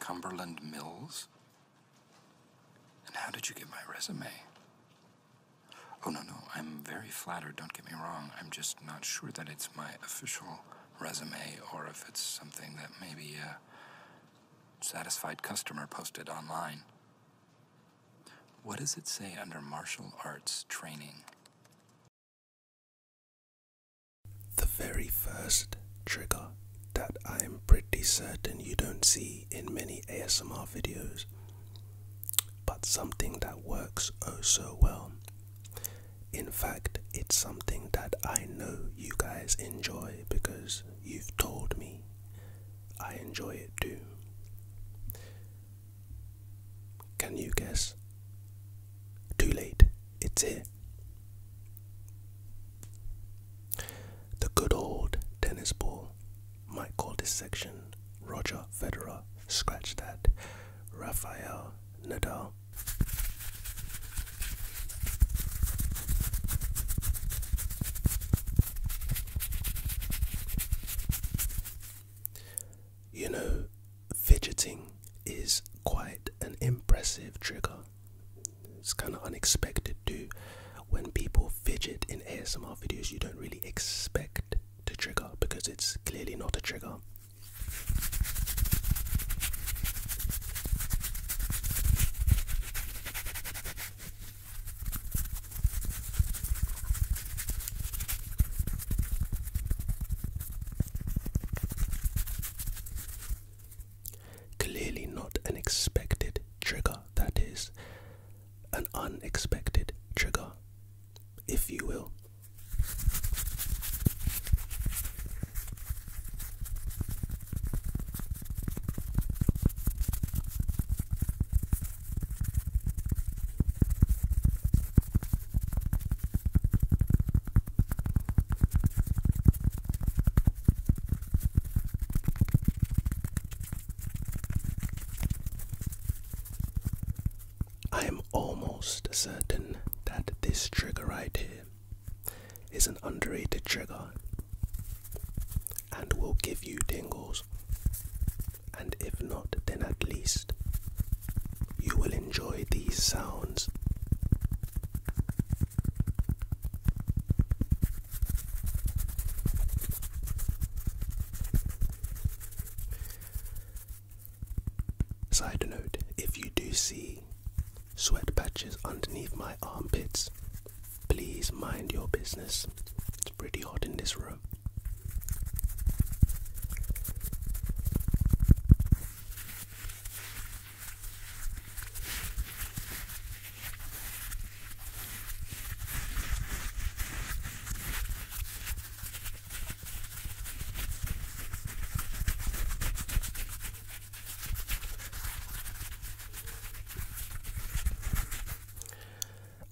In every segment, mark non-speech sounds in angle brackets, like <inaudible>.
Cumberland Mills? And how did you get my resume? Oh, no, no, I'm very flattered, don't get me wrong. I'm just not sure that it's my official resume or if it's something that maybe a satisfied customer posted online. What does it say under martial arts training? The very first trigger that I'm pretty certain you don't see in many ASMR videos, but something that works oh so well. In fact, it's something that I know you guys enjoy because you've told me I enjoy it too. Can you guess too late, it's here. The good old tennis ball might call this section Roger Federer, scratch that, Rafael Nadal. You know, fidgeting is quite an impressive trigger. It's kind of unexpected too. When people fidget in ASMR videos, you don't really expect to trigger because it's clearly not a trigger. Clearly, not an expected trigger, that is, an unexpected trigger, if you will. I am almost certain that this trigger right here is an underrated trigger and will give you tingles, and if not, then at least you will enjoy these sounds. Side note if you do see sweat patches underneath my armpits, please mind your business. It's pretty hot in this room.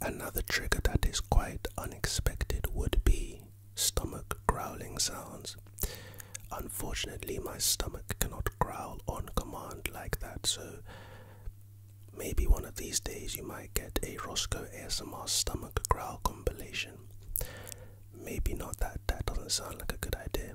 Another trigger that is quite unexpected would be stomach growling sounds. Unfortunately, my stomach cannot growl on command like that, so maybe one of these days you might get a Roscoe ASMR stomach growl compilation. Maybe not that, that doesn't sound like a good idea.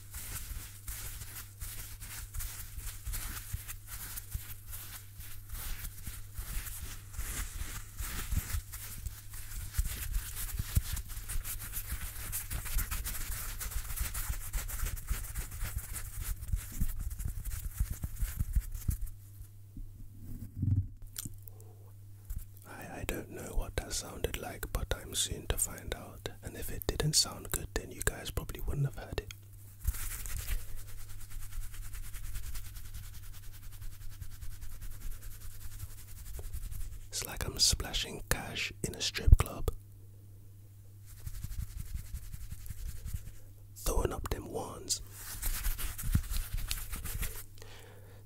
I, I don't know what that sounded like, but I'm soon to find out. And if it didn't sound good, then you guys probably wouldn't have heard it. It's like I'm splashing cash in a strip club. Throwing up them wands.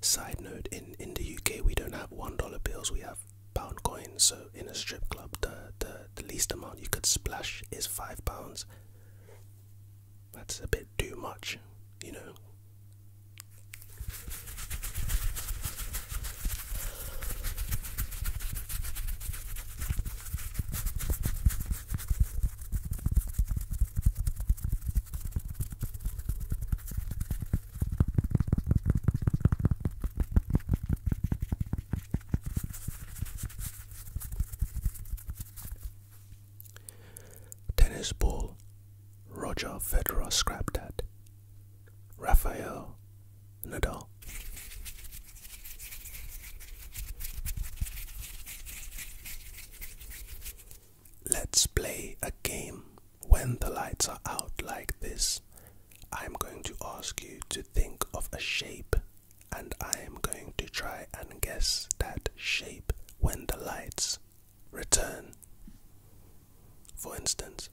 Side note, in, in the UK we don't have $1 bills, we have pound coins. So in a strip club, the the, the least amount you could splash is five pounds. That's a bit too much, you know. Tennis ball, Roger Federer scrapped at. Rafael Nadal. Let's play a game. When the lights are out like this, I'm going to ask you to think of a shape and I am going to try and guess that shape when the lights return. For instance,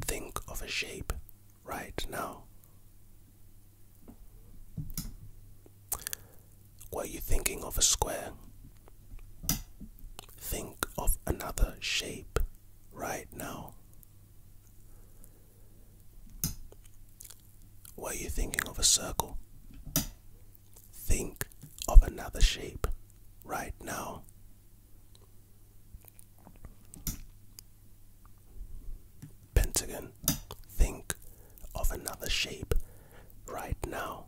think of a shape right now. Were you thinking of a square? Think of another shape right now. Were you thinking of a circle? Think of another shape right now. Pentagon, think of another shape right now.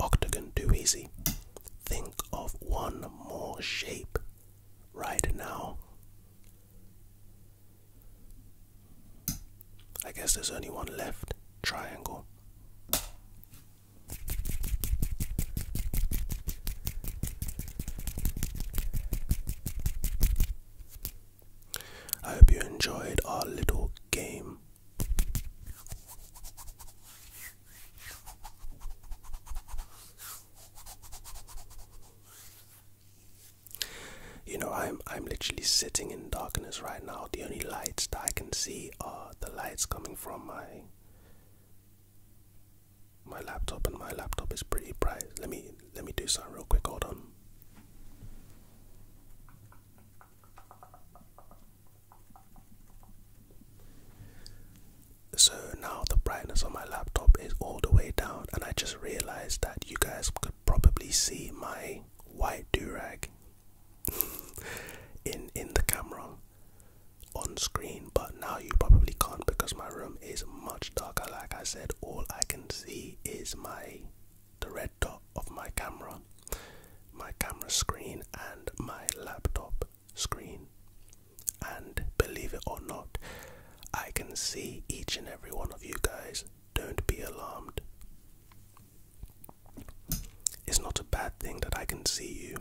Octagon, too easy. Think of one more shape right now. I guess there's only one left triangle. I hope you enjoyed our little game. You know, I'm I'm literally sitting in darkness right now. The only lights that I can see are the lights coming from my my laptop and my laptop is pretty bright. Let me let me do something real quick, hold on. So now the brightness on my laptop is all the way down, and I just realized that you guys could probably see my white du rag <laughs> in in the camera on screen, but now you probably can't because my room is much darker. Like I said, all I can see is my the red dot of my camera, my camera screen, and my laptop screen. And believe it or not, I can see each and every one of you guys. Don't be alarmed. It's not a bad thing that I can see you,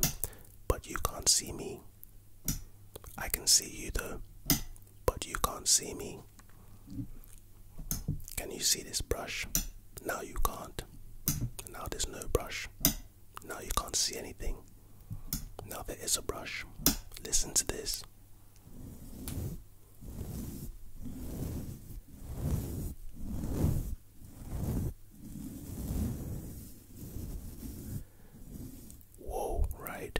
but you can't see me. I can see you though, but you can't see me. Can you see this brush? Now you can't. Now there's no brush. Now you can't see anything. Now there is a brush. Listen to this. Whoa, right?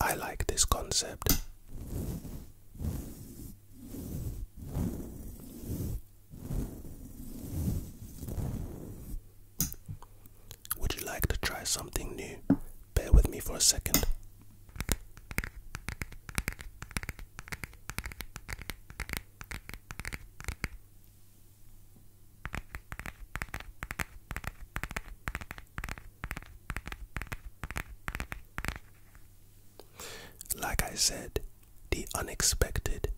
I like this concept. Would you like to try something new? Bear with me for a second. Like I said, the unexpected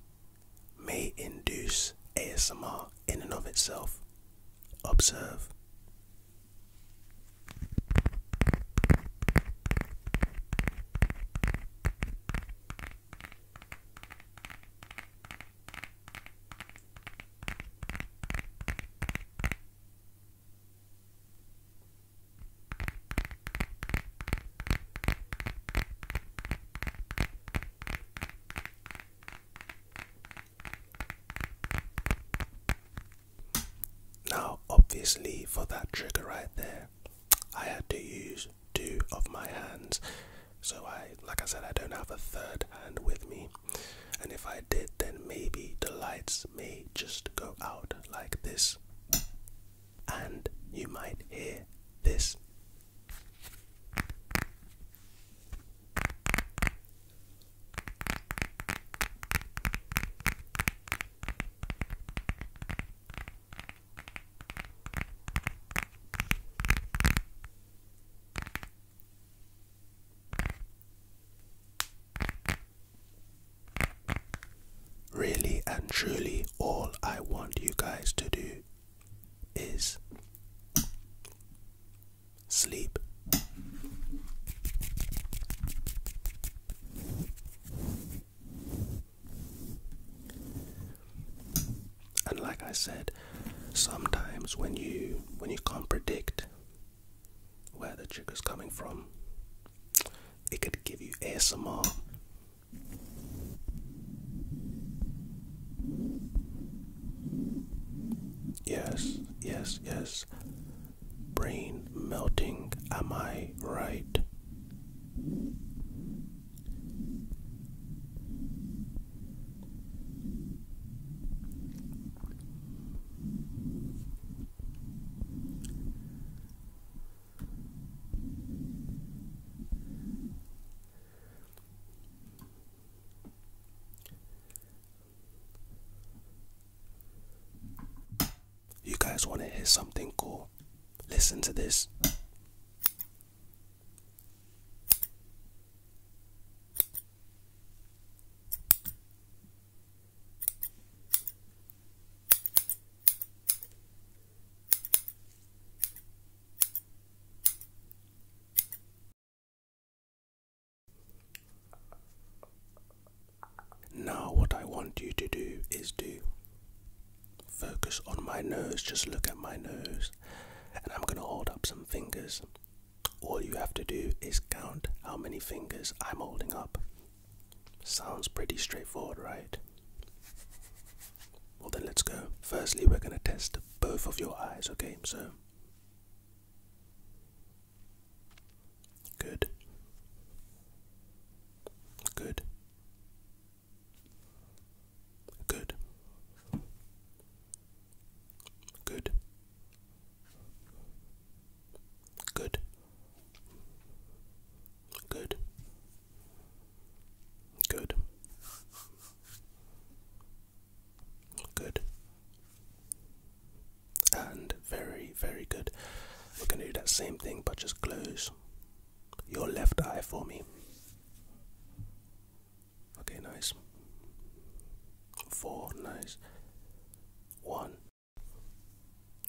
may induce ASMR in and of itself. Observe. Now, obviously, for that trigger right there, I had to use two of my hands so I, like I said, I don't have a third hand with me. And if I did, then maybe the lights may just go out like this. And you might hear this. Really and truly, all I want you guys to do is sleep and like I said, sometimes when you when you can't predict where the trigger's coming from, it could give you ASMR. Yes, yes, yes. Brain melting, am I right? You guys want to hear something cool? Listen to this. Now, what I want you to do is do. focus on my nose, just look at my nose and I'm going to hold up some fingers. All you have to do is count how many fingers I'm holding up. Sounds pretty straightforward, right? Well, then let's go. Firstly, we're going to test both of your eyes, okay? So. Good. Good. Good. Good. Good. Good. Good. Good. And very, very good. We're going to do that same thing, but just close your left eye for me. Okay, nice. Four, nice. One,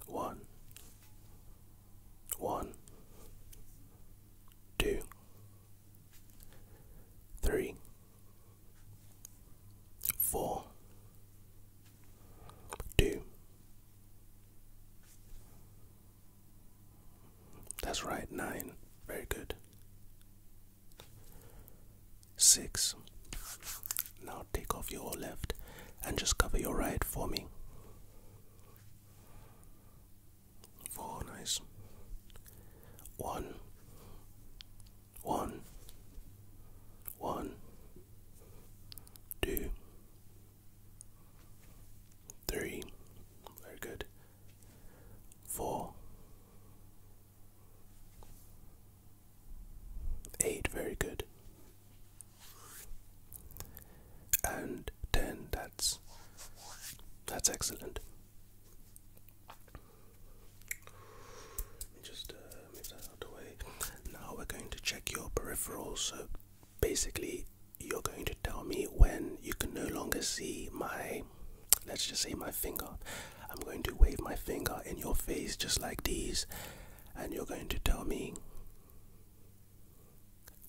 one, one, two, three, four, two, that's right, nine. Very good. Six. Now take off your left and just cover your right for me. Four, nice. One. One. One. Two. Three. Very good four, eight, very good, and ten. That's that's excellent. Just uh, move that out of the way. Now we're going to check your peripherals. So basically, you're going to tell me when you can no longer see my, let's just say my finger. I'm going to wave my finger in your face just like these, and you're going to tell me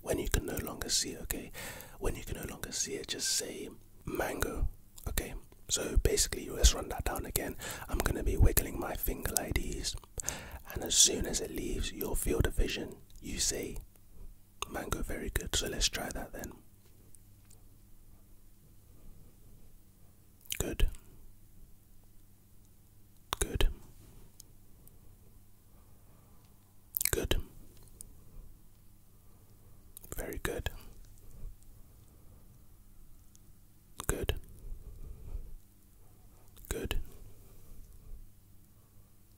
when you can no longer see, okay? When you can no longer see it, just say mango, okay? So basically, let's run that down again. I'm going to be wiggling my finger like these, and as soon as it leaves your field of vision, you say Mango, very good. So let's try that then. Good. Good. Good. Very good. Good. Good.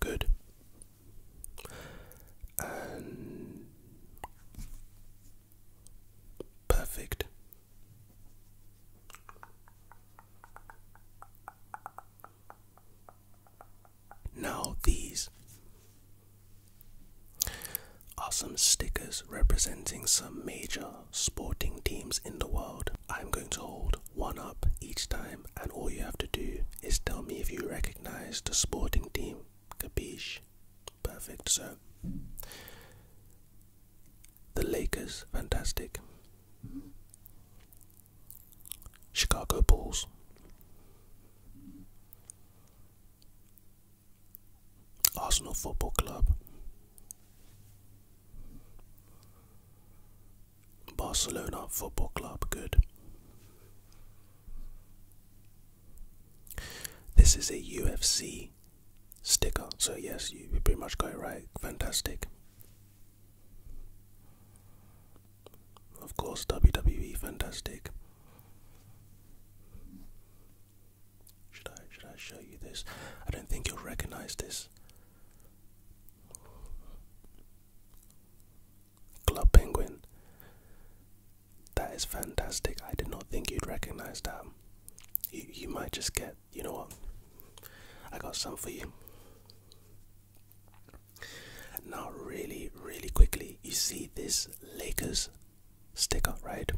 Good. perfect. Now, these are some stickers representing some major sporting teams in the world. I'm going to hold one up each time, and all you have to do is tell me if you recognize the sporting team. Capiche? Perfect, sir. the Lakers, fantastic. Chicago Bulls. Arsenal Football Club. Barcelona Football Club, good. This is a UFC sticker, so yes, you pretty much got it right. Fantastic. Of course, WWE, fantastic. Should I should I show you this? I don't think you'll recognize this. Club Penguin. That is fantastic. I did not think you'd recognize that. You, you might just get, you know what? I got some for you. Now, really, really quickly, you see this Lakers sticker, right?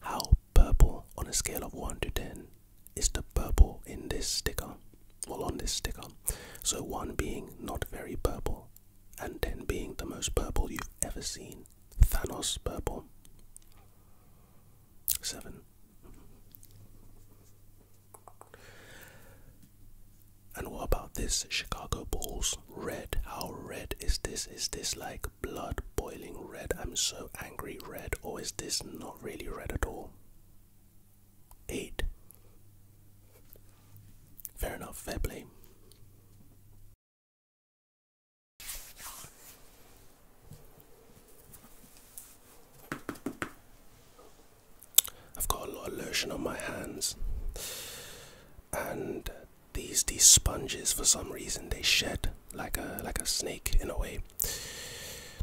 How purple on a scale of 1 to 10 is the purple in this sticker, or on this sticker. So, one being not very purple, and 10 being the most purple you've ever seen. Thanos purple. 7. And what about this Chicago Bulls red? How red is this? Is this like blood boiling red? I'm so angry red, or is this not really red at all? eight. Fair enough, fair play. I've got a lot of lotion on my hands, and these these sponges for some reason they shed like a like a snake in a way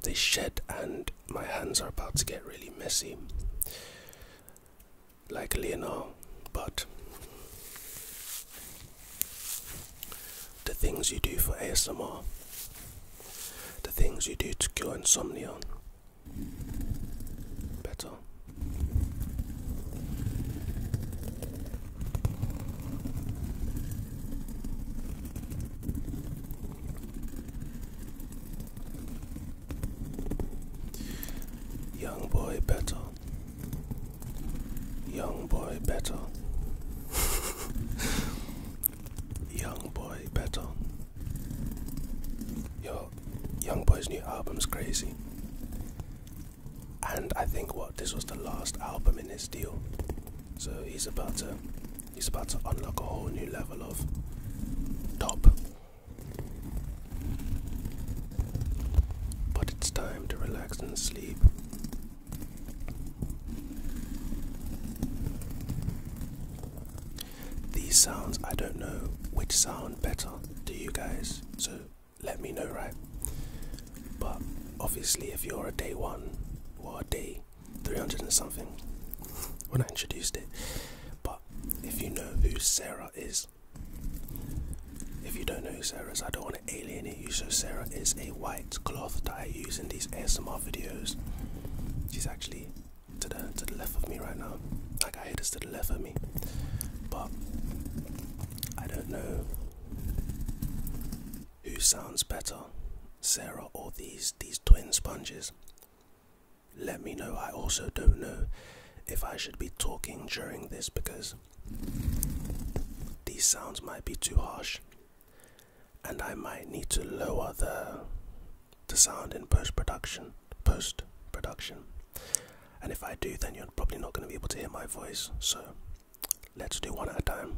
they shed and my hands are about to get really messy like Leonor but the things you do for ASMR the things you do to cure insomnia better Young boy battle. Young boy battle. <laughs> young boy battle. Yo, Young Boy's new album's crazy. And I think what this was the last album in his deal. So he's about to He's about to unlock a whole new level of top. But it's time to relax and sleep. These sounds, I don't know which sound better to you guys, so let me know, right? But obviously, if you're a day one or a day 300 and something when I introduced it. But if you know who Sarah is, if you don't know who Sarah is, I don't want to alienate you. So, Sarah is a white cloth that I use in these ASMR videos. She's actually to the, to the left of me right now. Like, I hate this to the left of me. But I don't know who sounds better, Sarah or these these twin sponges. Let me know. I also don't know if I should be talking during this because these sounds might be too harsh and I might need to lower the the sound in post production post production and if I do then you're probably not going to be able to hear my voice so let's do one at a time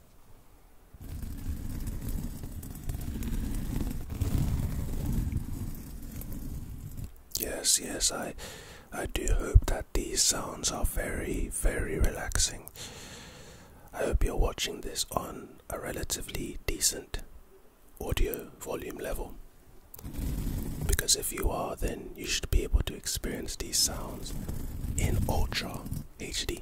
Yes, yes, I I do hope that these sounds are very, very relaxing. I hope you're watching this on a relatively decent audio volume level. Because if you are, then you should be able to experience these sounds in ultra HD.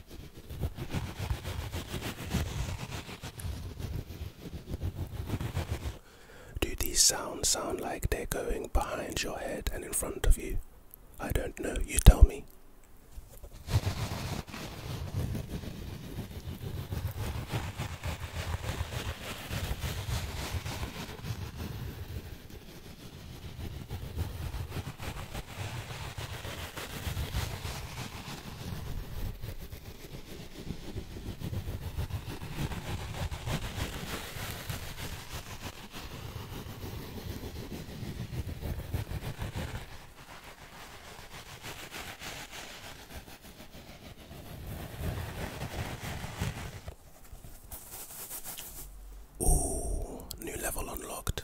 Do these sounds sound like they're going behind your head and in front of you? I don't know, you tell me. Oh, new level unlocked.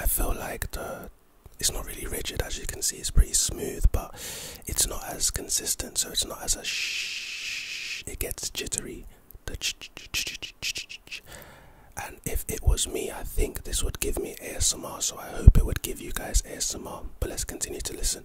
I feel like it's not really rigid as you can see it's pretty smooth but it's not as consistent so it's not as a shh it gets jittery and if it was me i think this would give me asmr so i hope it would give you guys asmr but let's continue to listen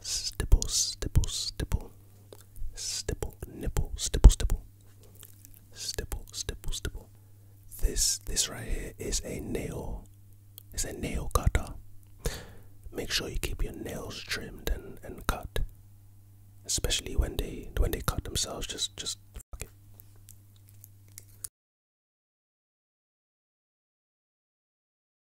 Stipple, stipple, stipple. Stipple, nipple, stipple, stipple. Stipple, stipple, stipple. This, this right here is a nail. It's a nail cutter. Make sure you keep your nails trimmed and, and cut. Especially when they when they cut themselves, just just